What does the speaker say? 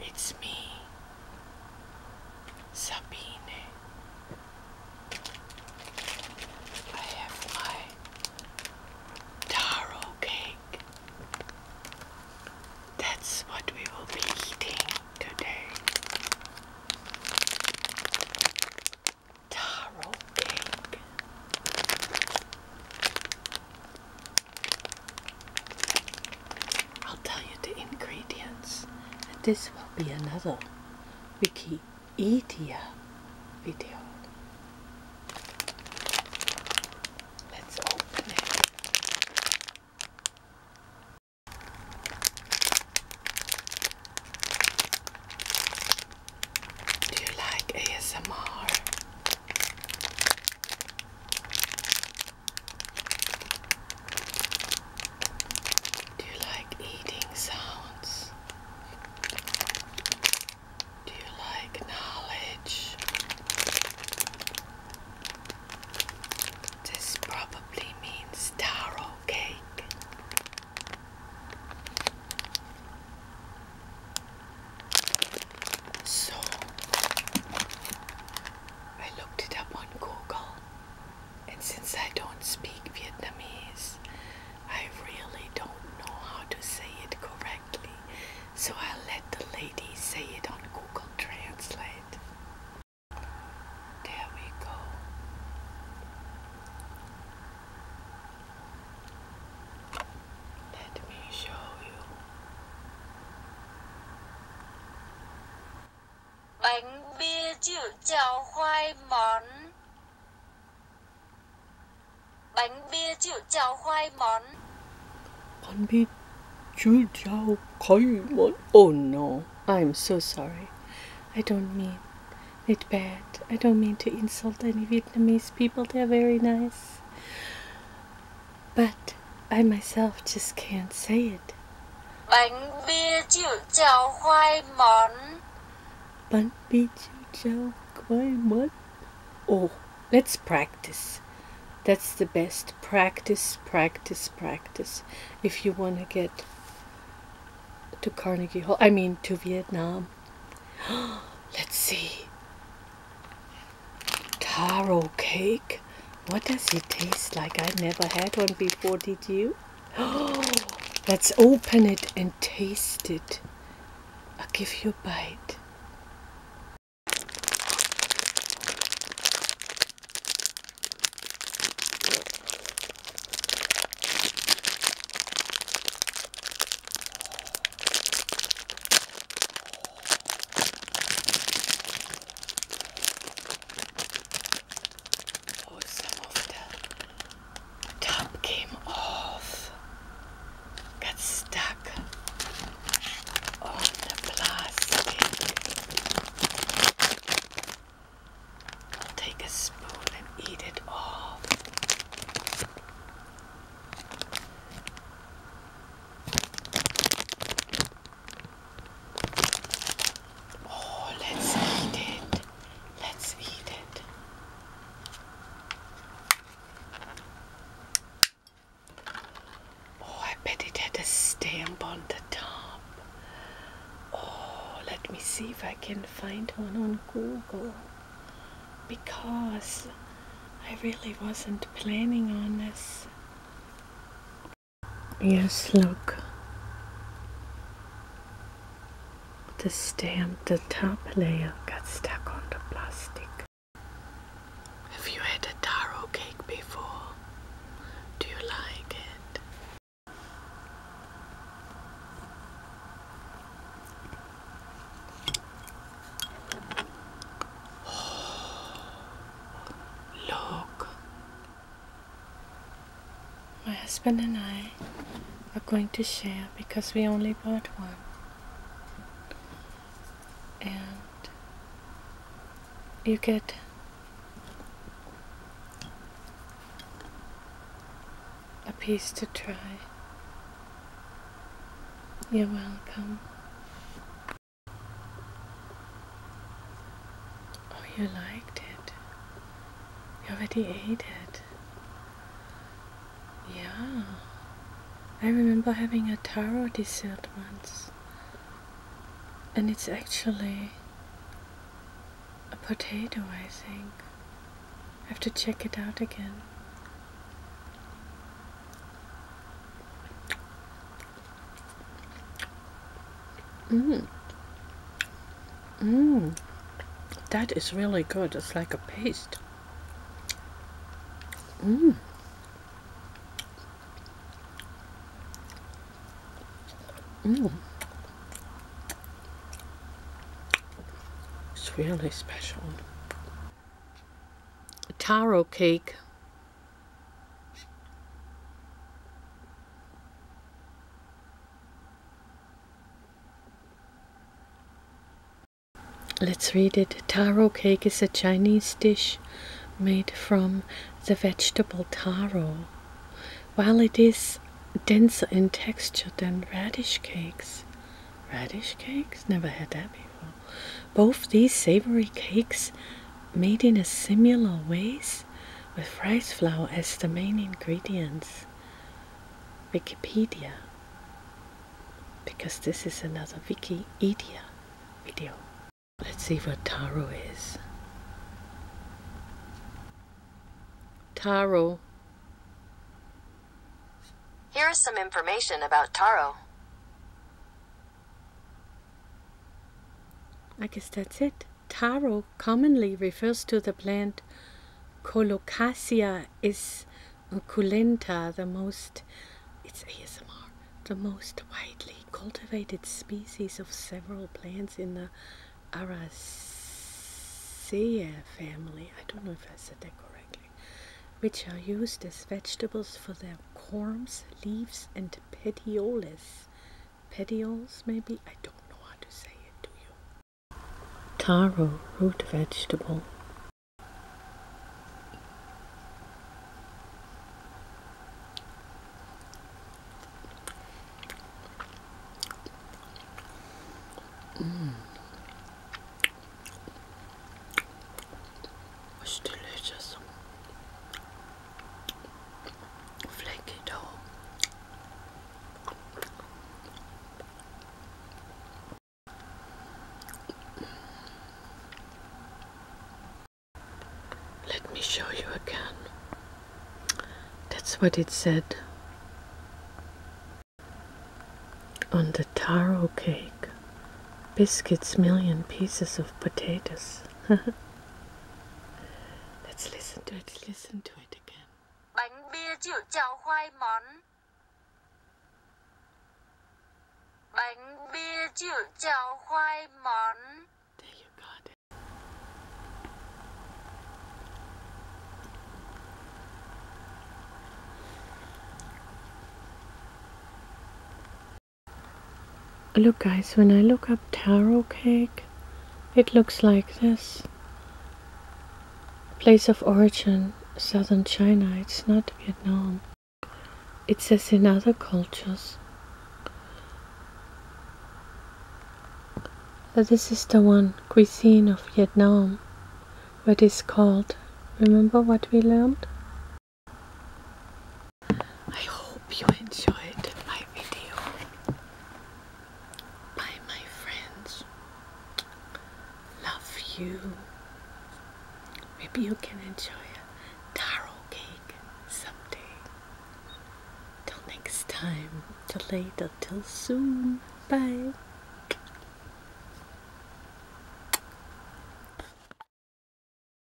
It's me, Sabine. I have my taro cake. That's what we will be eating today. Taro cake. I'll tell you the ingredients. And this will be another Wikipedia video. Let's open it. Do you like ASMR? Do you like eating sounds? Do you like knowledge? This probably means tarot. So I looked it up on Google, and since I don't speak Vietnamese, I really don't know how to say it correctly. So I'll let the lady say it on Google Translate. There we go. Let me show you. Bánh bia chữ chào khoai món. Bánh bia chữ chào khoai món. Bánh bia chữ chào khoai món. Oh no. I'm so sorry. I don't mean it bad. I don't mean to insult any Vietnamese people. They're very nice. But I myself just can't say it. Bánh bia chiều chào khoai món. Bánh bia chiều chào khoai món. Oh, let's practice. That's the best. Practice, practice, practice. If you want to get to Carnegie Hall, I mean to Vietnam. Let's see. Taro cake. What does it taste like? I never had one before, did you? Let's open it and taste it. I'll give you a bite. Oh, some top came off. Got stuck back the plastic. Take a spoon and eat it off. Oh, let's eat it. Let's eat it. Oh, I bet it had a stamp on the top. Oh, let me see if I can find one on Google. Because I really wasn't planning on this. Yes, look. The stamp, the top layer got stuck on the plastic. Have you had a taro cake before? Do you like it? look. My husband and I are going to share because we only bought one and you get a piece to try. You're welcome. Oh, you liked it. You already ate it. Yeah. I remember having a taro dessert once. And it's actually a potato, I think. I have to check it out again. Mmm. Mmm. That is really good. It's like a paste. Mm. Mm. It's really special. Taro cake. Let's read it. Taro cake is a Chinese dish made from the vegetable taro. While it is denser in texture than radish cakes, radish cakes? Never had that before. Both these savory cakes, made in a similar ways, with rice flour as the main ingredients. Wikipedia because this is another Wikipedia video. Let's see what Taro is. Taro. Here is some information about Taro. I guess that's it. Taro commonly refers to the plant Colocasia is the most it's ASMR, the most widely cultivated species of several plants in the Araceae family. I don't know if I said that correctly, which are used as vegetables for their corms, leaves, and petioles. Petioles, maybe I don't know how to say it. Do you? taro root vegetable mm. It's delicious. Flaky dough. Let me show you again. That's what it said on the taro cake. Biscuits, million pieces of potatoes. Let's listen to it. listen to it again. Bánh bia chịu chào khoai món. Bánh bia chịu chào khoai món. Look guys, when I look up taro cake, it looks like this. Place of origin, southern China, it's not Vietnam. It says in other cultures. But this is the one cuisine of Vietnam, what is called. Remember what we learned? I hope you enjoyed my video. Bye, my friends. Love you. Maybe you can enjoy a taro cake someday. Till next time, till later, till soon. Bye.